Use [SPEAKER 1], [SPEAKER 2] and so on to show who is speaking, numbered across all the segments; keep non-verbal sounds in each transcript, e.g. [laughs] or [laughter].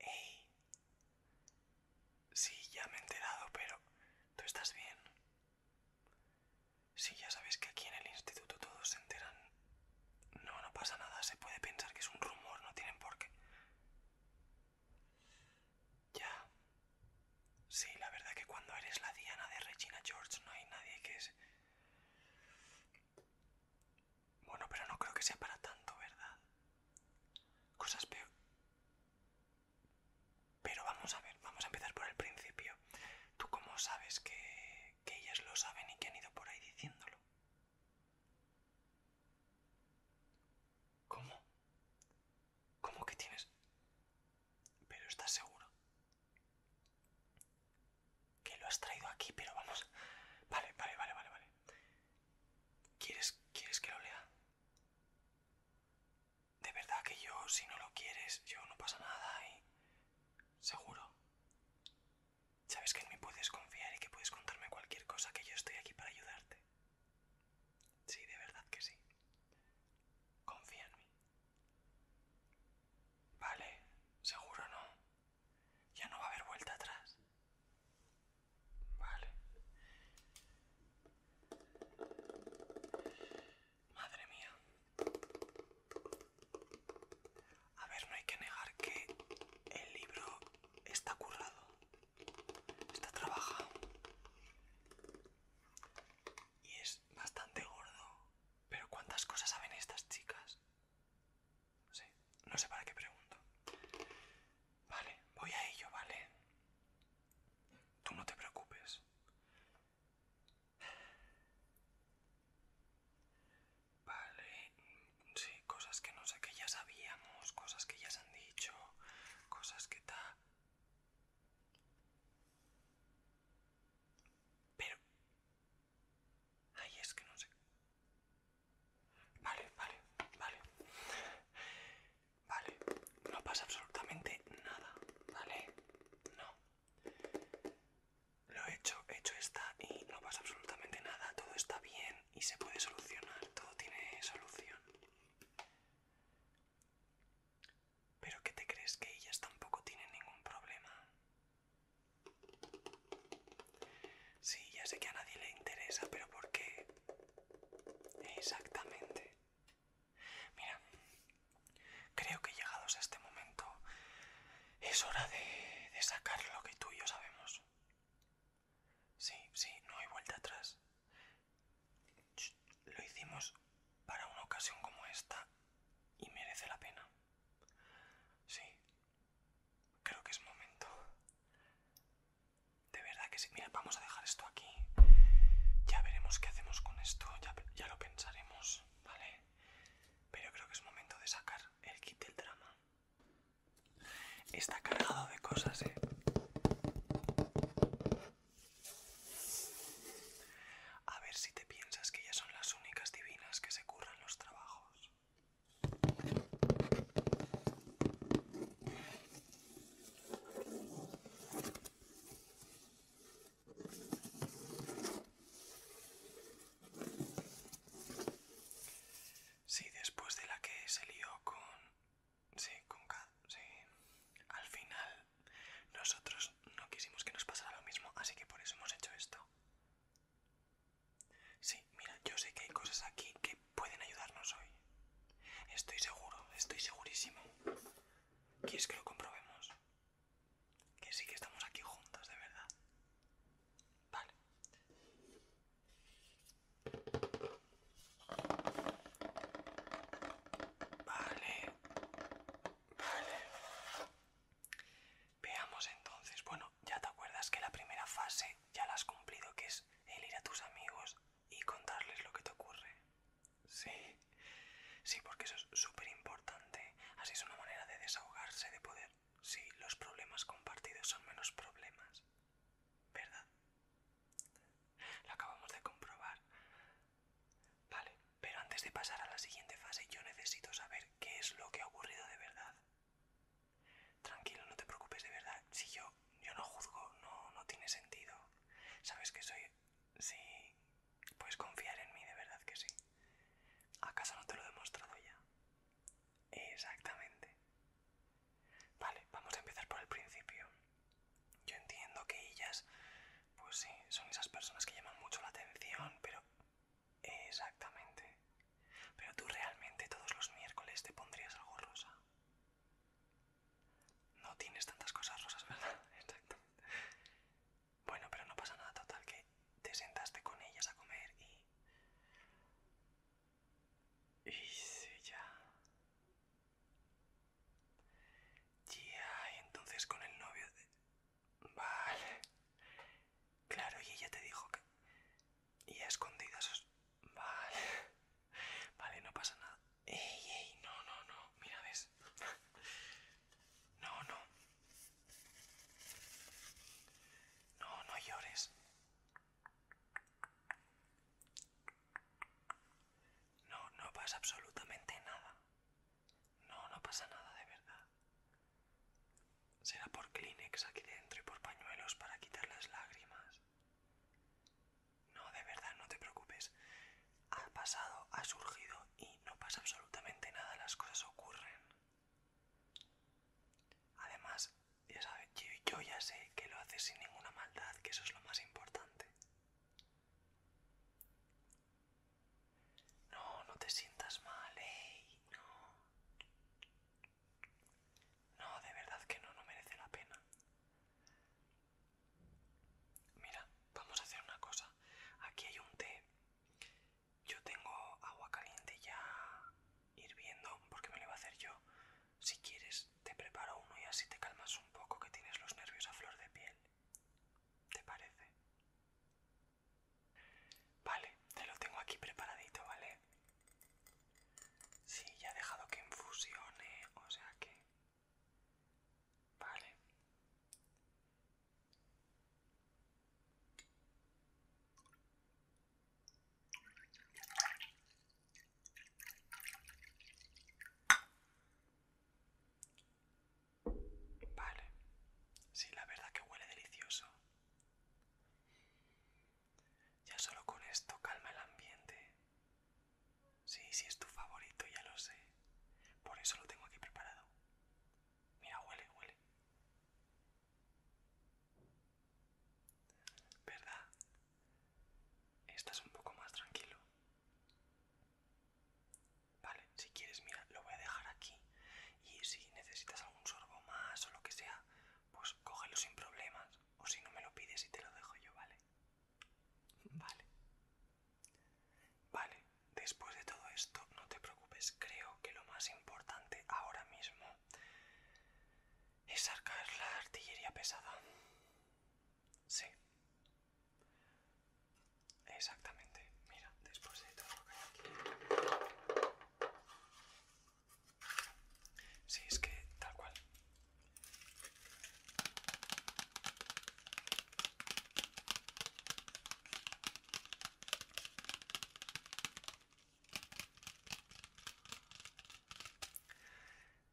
[SPEAKER 1] Ey. Sí, ya me he enterado, pero ¿tú estás bien? Sí, ya sabes que aquí en el instituto todos se enteran. No, no pasa nada, se puede pensar que es un rumor, no tienen por qué. Ya. Sí, la verdad que cuando eres la Diana de Regina George no hay nadie que es... Bueno, pero no creo que sea para tanto, ¿verdad? Cosas peor. Pero vamos a ver, vamos a empezar por el principio. ¿Tú cómo sabes que, que ellas lo saben y que han ido por ahí diciéndolo? ¿Cómo? ¿Cómo que tienes? Pero estás seguro. Que lo has traído aquí, pero vamos. vale, vale, vale, vale. ¿Quieres, ¿Quieres que lo lea? De verdad que yo, si no lo quieres, yo no pasa nada y... Seguro. Sabes que en mí puedes confiar y que puedes contarme cualquier cosa, que yo estoy aquí para ayudarte. Sí, de verdad que sí. Confía en mí. Vale, seguro no. Ya no va a haber vuelta atrás. Vale. Madre mía. A ver, no hay que negar que el libro está currado. Está trabajado. Y es bastante gordo. Pero cuántas cosas saben estas chicas. Sí, no sé para qué pregunto. Vale, voy a ello, ¿vale? Tú no te preocupes. Vale, sí, cosas que no sé que ya sabíamos, cosas que ya se han dicho, cosas que tal. Pero... Ay, es que no sé... Vale, vale, vale. Vale, no pasa absolutamente nada, ¿vale? No. Lo he hecho, he hecho esta y no pasa absolutamente nada. Todo está bien y se puede solucionar. Todo tiene solución. ¿Pero qué te crees que ellas tampoco tienen ningún problema? Sí, ya sé que a nadie le interesa, pero ¿por qué? Exactamente. Mira, creo que llegados a este momento es hora de, de sacar lo que tú y yo sabemos. Sí, sí, no hay vuelta atrás. Lo hicimos para una ocasión como esta y merece la pena. Sí, Creo que es momento. De verdad que si Mira, vamos a dejar esto aquí. Ya veremos qué hacemos con esto. Ya, lo pensaremos, ¿vale? Pero creo que es momento de sacar el kit del drama. Está cargado de cosas, ¿eh? A ver si te piensas que ya son las únicas divinas que se curran los trabajos. Sí, después de la que se lió con... Sí, con Kat, sí. Al final nosotros no quisimos que nos pasara lo mismo, así que por eso hemos hecho esto. Sí, mira, yo sé que hay cosas aquí que pueden ayudarnos hoy. Estoy seguro, estoy segurísimo. ¿Quieres que lo comprobemos? Que sí que estamos aquí juntos, de verdad. Vale. Vale. Vale. Veamos entonces. Bueno, ya te acuerdas que la primera fase ya la has cumplido, que es el ir a tus amigos y contarles lo que te ocurre. Sí, sí, porque eso es súper importante. Así es una manera de desahogarse, de poder. Sí, los problemas compartidos son menos problemas. ¿Verdad? Lo acabamos de comprobar. Vale, pero antes de pasar a la siguiente fase yo necesito saber qué es lo que ha ocurrido de verdad. Tranquilo, no te preocupes de verdad. Si yo, yo no juzgo, no, no tiene sentido. Sabes que soy... Sí, puedes confiar en mí, de verdad que sí. ¿Acaso no te lo he demostrado ya? Exactamente. Vale, vamos a empezar por el principio. Yo entiendo que ellas, pues sí, son esas personas que llaman mucho la atención, pero... Exactamente. Pero tú realmente todos los miércoles te pondrías algo rosa. No tienes tantas cosas rosas, ¿verdad? [laughs] Exacto. Bueno, pero no pasa nada total que te sentaste con ellas a comer y... Y ya. Ya, y entonces con el novio de... Vale. Claro, y ella te dijo que... Y escondidas Vale. Vale, no pasa nada. Ey, ey, no, no, no. Mira, ves. No, no. No, no llores. No, no pasa absolutamente nada. No, no pasa nada de verdad. Será por Kleenex aquí dentro y por pañuelos para quitar las lágrimas. No, de verdad, no te preocupes. Ha pasado, ha surgido y no pasa absolutamente nada, las cosas ocurren. Además, ya sabes, yo ya sé que lo haces sin ninguna maldad, que eso es lo más importante. No, no te sientas mal, ey, no. No, de verdad que no, no merece la pena. Mira, vamos a hacer una cosa. Aquí hay un té. Yo tengo agua caliente ya hirviendo porque me lo iba a hacer yo. Si quieres, te preparo uno y así te calmas un poco que tienes los nervios a flor de piel. ¿Te parece? Vale, te lo tengo aquí preparadito, ¿vale? Sí, ya he dejado que infusione, o sea que... Vale. Vale. Sí, la verdad que huele delicioso. Ya solo con esto calma el ambiente. Sí, sí es tu favorito, ya lo sé. Por eso lo tengo aquí preparado. Mira, huele, huele. ¿Verdad? Estás un poco más tranquilo. Vale, si quieres, mira, lo voy a dejar aquí. Y si necesitas algún sorbo más o lo que sea, pues cógelo sin problemas. O si no me lo pides y te lo dejo yo, ¿vale? Vale. Vale, después de todo esto, no te preocupes. Creo que lo más importante ahora mismo es arcar la artillería pesada. Sí. Exactamente. Mira, después de todo lo aquí. Sí, es que tal cual.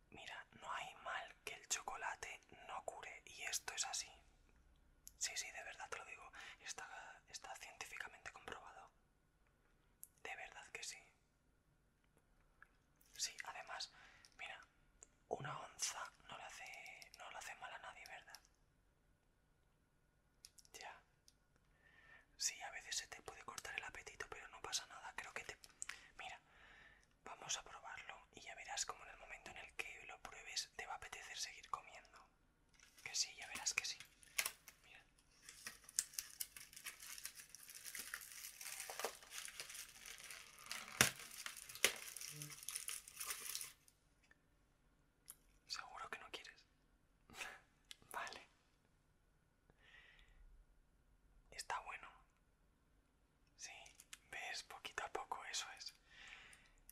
[SPEAKER 1] Mira, no hay mal que el chocolate no cure y esto es así. Sí, sí, de verdad te lo digo. Está, está científicamente comprobado. De verdad que sí. Sí, además, mira, una onza no la hace, no le hace mal a nadie, ¿verdad? Ya. Sí, a veces se te puede cortar el apetito, pero no pasa nada. Creo que te... Mira, vamos a probarlo y ya verás como en el momento en el que lo pruebes te va a apetecer seguir comiendo. Que sí, ya verás que sí. Mira. Seguro que no quieres. [laughs] vale. Está bueno. Sí, ves poquito a poco, eso es.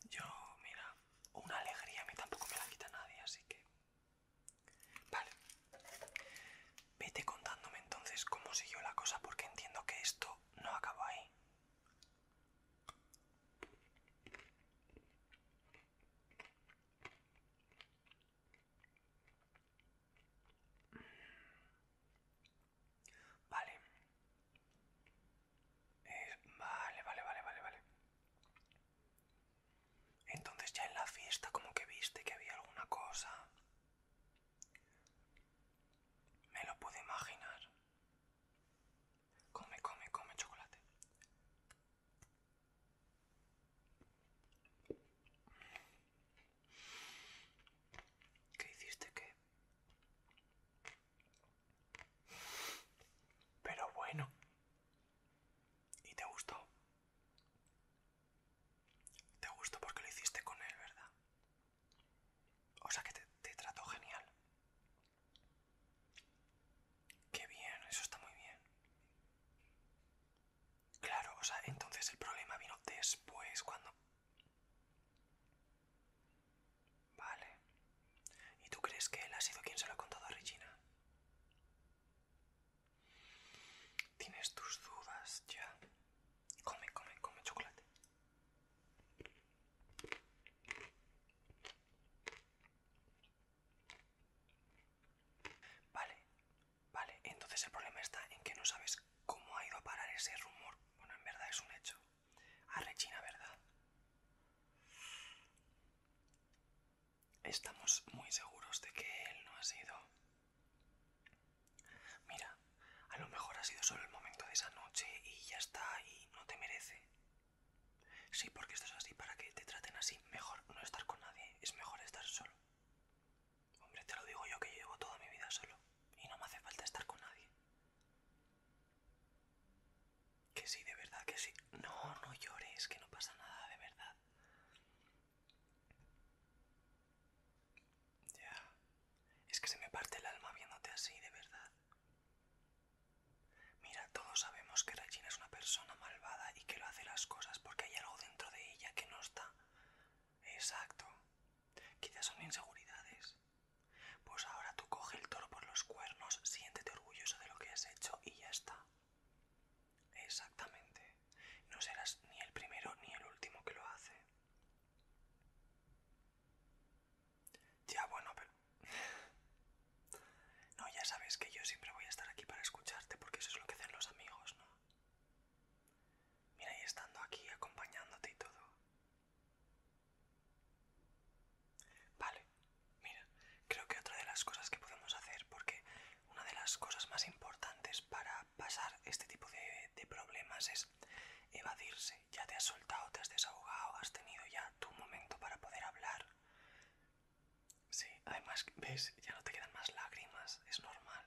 [SPEAKER 1] Yo, mira, una alegría a mí tampoco me la quita nadie, así que Vale. Vete contándome entonces cómo siguió la cosa porque entiendo que esto no acabó ahí. Eh, vale. vale, vale, vale, vale, vale. Entonces ya en la fiesta como que viste que había alguna cosa. Me lo pude imaginar. Come, come, come chocolate. ¿Qué hiciste qué? Pero bueno. ¿Y te gustó? Te gustó porque lo hiciste con él, ¿verdad? O sea que te, trató genial. Qué bien, eso está muy bien. Claro, o sea, entonces el problema vino después, cuando... Vale. ¿Y tú crees que él ha sido quien se lo ha contado a Regina? Tienes tus dudas ya. Come, come, come chocolate. Vale, vale. Entonces el problema está en que no sabes cómo ha ido a parar ese rumor. Bueno, en verdad es un hecho. A Regina, ¿verdad? Estamos muy seguros de que él no ha sido. Mira, a lo mejor ha sido solo el momento de esa noche y ya está y no te merece. Sí, porque esto es así para que te traten así. Mejor no estar con nadie, es mejor estar solo. Hombre, te lo digo yo que llevo toda mi vida solo y no me hace falta estar con nadie. Que sí, de verdad que sí. No, no llores, que no pasa nada, de verdad. Ya. Es que se me parte el alma viéndote así, de verdad. Mira, todos sabemos que Regina es una persona malvada y que lo hace las cosas porque hay algo dentro de ella que no está. Exacto. Quizás son inseguridades. Pues ahora tú coge el toro por los cuernos, siéntete orgulloso de lo que has hecho y ya está. Exactamente. No serás ni el primero ni el último que lo hace. Ya, bueno, pero... [laughs] no, ya sabes que yo siempre voy a estar aquí para escucharte porque eso es lo que hacen los amigos, ¿no? Mira, y estando aquí acompañándote y todo. Vale, mira, creo que otra de las cosas que podemos hacer, porque una de las cosas más importantes para pasar este tipo de, problemas es evadirse. Ya te has soltado, te has desahogado, has tenido ya tu momento para poder hablar. Sí, además, ves, ya no te quedan más lágrimas, es normal.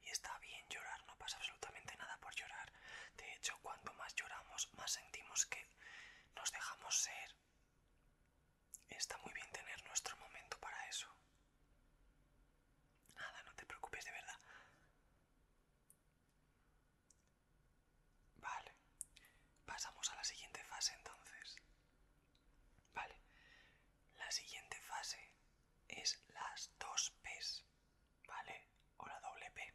[SPEAKER 1] Y está bien llorar, no pasa absolutamente nada por llorar. De hecho, cuanto más lloramos, más sentimos que nos dejamos ser, Está muy bien tener nuestro momento para eso. Nada, no te preocupes de verdad. Vale. Pasamos a la siguiente fase entonces. Vale. La siguiente fase es las dos P, ¿Vale? O la doble P.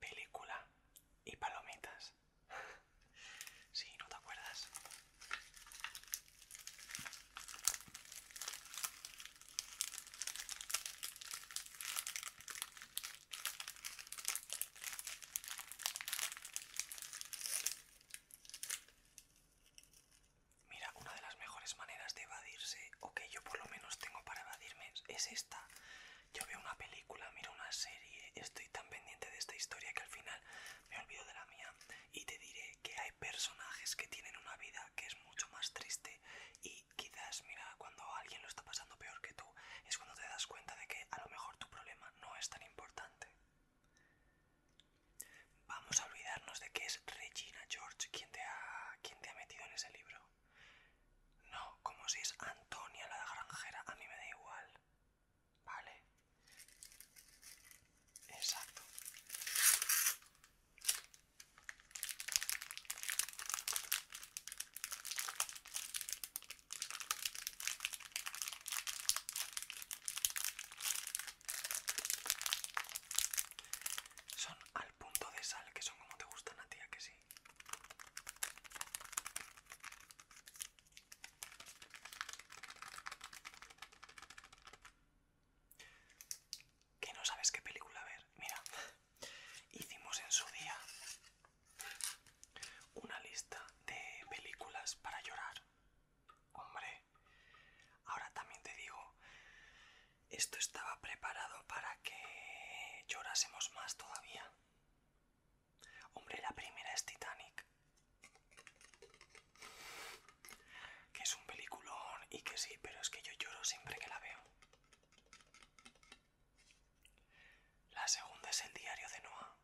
[SPEAKER 1] Película y palomitas. [laughs] Sí, no te acuerdas. Mira, una de las mejores maneras de evadirse, o que yo por lo menos tengo para evadirme, es esta. Yo veo una película, miro una serie, estoy tan pendiente de esta historia que al final me olvido de la mía y te diré que hay personajes que tienen una vida que es mucho más triste y quizás mira cuando alguien lo está pasando peor que tú es cuando te das cuenta de que a lo mejor tu problema no es tan importante. Vamos a olvidarnos de que es Regina George quien te ha, quien te ha metido en ese libro. No, como si es Antonia la granjera, a mí me da igual. Vale. Exacto. Son al punto de sal, que son como te gustan a ti, que sí. Que no sabes qué película ver. Mira, hicimos en su día una lista de películas para llorar. Hombre, ahora también te digo, esto estaba preparado para que llorásemos más todavía. Hombre, la primera es Titanic. Que es un peliculón y que sí, pero es que yo lloro siempre que la veo. La segunda es el diario de Noah.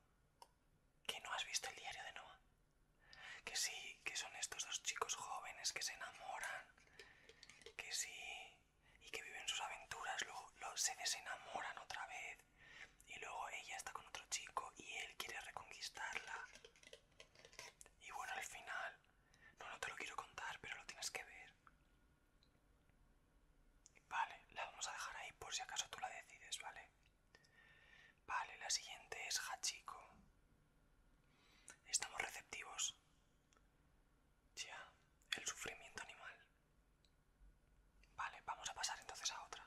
[SPEAKER 1] ¿Que no has visto el diario de Noah? Que sí, que son estos dos chicos jóvenes que se enamoran. Que sí, y que viven sus aventuras, luego, se desenamoran otra vez y luego ella está con otro chico y él quiere reconquistarla. Y bueno, al final... No, te lo quiero contar, pero lo tienes que ver. Vale, la vamos a dejar ahí por si acaso tú la decides, ¿vale? Vale, la siguiente es Hachiko. Estamos receptivos. Ya, el sufrimiento animal. Vale, vamos a pasar entonces a otra.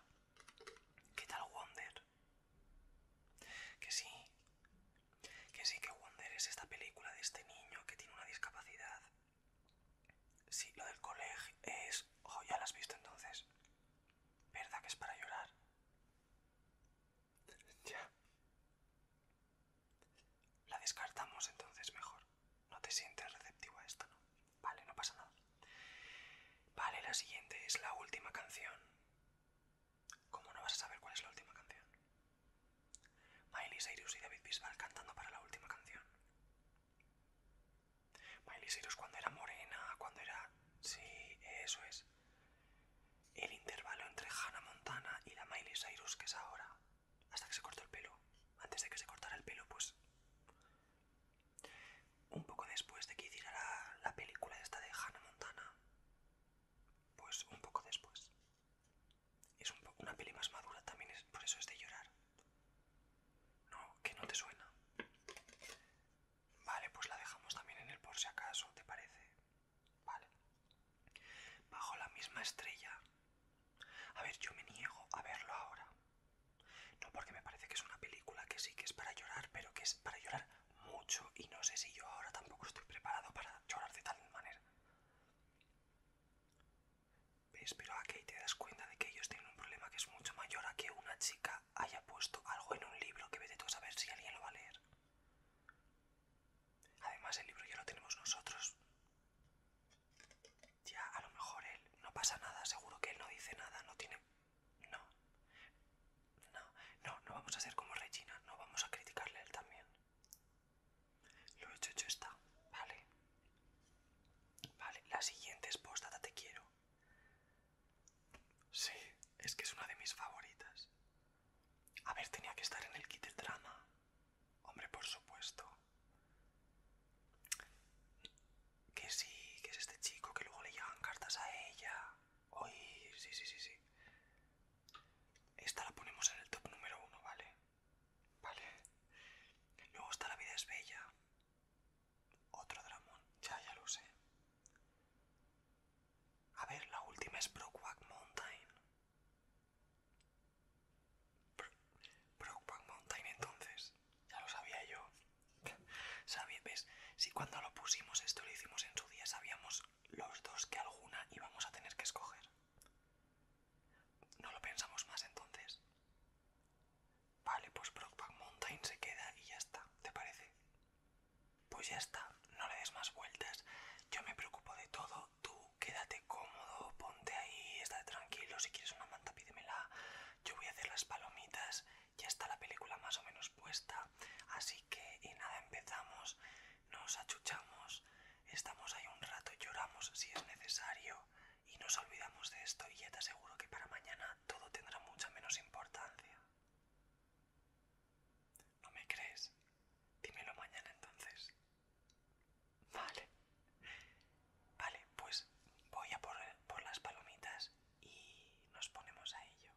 [SPEAKER 1] ¿Qué tal Wonder? Que sí. Que sí que Wonder es esta película de este niño que tiene una discapacidad. Sí, lo del colegio es... Ojo, ya la has visto entonces. ¿Verdad que es para llorar? ya. La descartamos entonces mejor. No te sientes receptivo a esto, ¿no? Vale, no pasa nada. Vale, la siguiente es la última canción. ¿Cómo no vas a saber cuál es la última canción? Miley Cyrus y David Bisbal cantando para la última canción. Miley Cyrus cuando era morena, cuando era... Sí, eso es. El intervalo entre Hannah Montana y la Miley Cyrus que es ahora. Hasta que se cortó el pelo. Antes de que se cortara el pelo, pues... Un poco después de que hiciera la, película esta de Hannah Montana, pues un poco después. Es una peli más madura también, por eso es de llorar. No, que no te suena. Vale, pues la dejamos también en el por si acaso, ¿te parece? Vale. Bajo la misma estrella. A ver, yo me niego a verlo ahora. No, porque me parece que es una película que sí que es para llorar, pero que es para llorar mucho y no sé si yo ahora tampoco estoy preparado para llorar de tal manera. ¿Ves? Pero aquí te das cuenta de que ellos tienen un problema que es mucho mayor a que una chica haya puesto algo en un libro que vete tú a saber si alguien lo va a leer. Además, el libro ya lo tenemos nosotros. Ya, a lo mejor él. No pasa nada, seguro que él no dice nada, no tiene. No. No, no, vamos a ser como Regina, no vamos a criticarle a él también. Lo hecho, hecho está, vale. Vale, la siguiente es postada, te quiero. Sí, es que es una de mis favoritas. A ver, tenía que estar en el kit de drama. Hombre, por supuesto. Que sí, que es este chico, que luego le llegan cartas a ella. Uy, sí, sí, sí, sí. Esta la ponemos en el top número uno, ¿vale? Vale. Luego está La vida es bella. Otro dramón, ya, ya lo sé. A ver, la última es Brokeback Mountain. Brokeback Mountain entonces. Ya lo sabía yo. [laughs] Sabía, ¿ves? Si cuando lo pusimos esto lo hicimos en su día, sabíamos los dos que alguna íbamos a tener que escoger. No lo pensamos más entonces. Vale, pues Brockback Mountain se queda y ya está, ¿te parece? Pues ya está, no le des más vueltas. Yo me preocupo de todo, tú quédate cómodo, ponte ahí, estate tranquilo si quieres una pídeme pídemela. Yo voy a hacer las palomitas, ya está la película más o menos puesta. Así que, nada, empezamos, nos achuchamos, estamos ahí un rato, lloramos si es necesario y nos olvidamos de esto. Y ya te aseguro que para mañana todo tendrá mucha menos importancia. ¿No me crees? Dímelo mañana entonces. Vale. Vale, pues voy a por, las palomitas y nos ponemos a ello.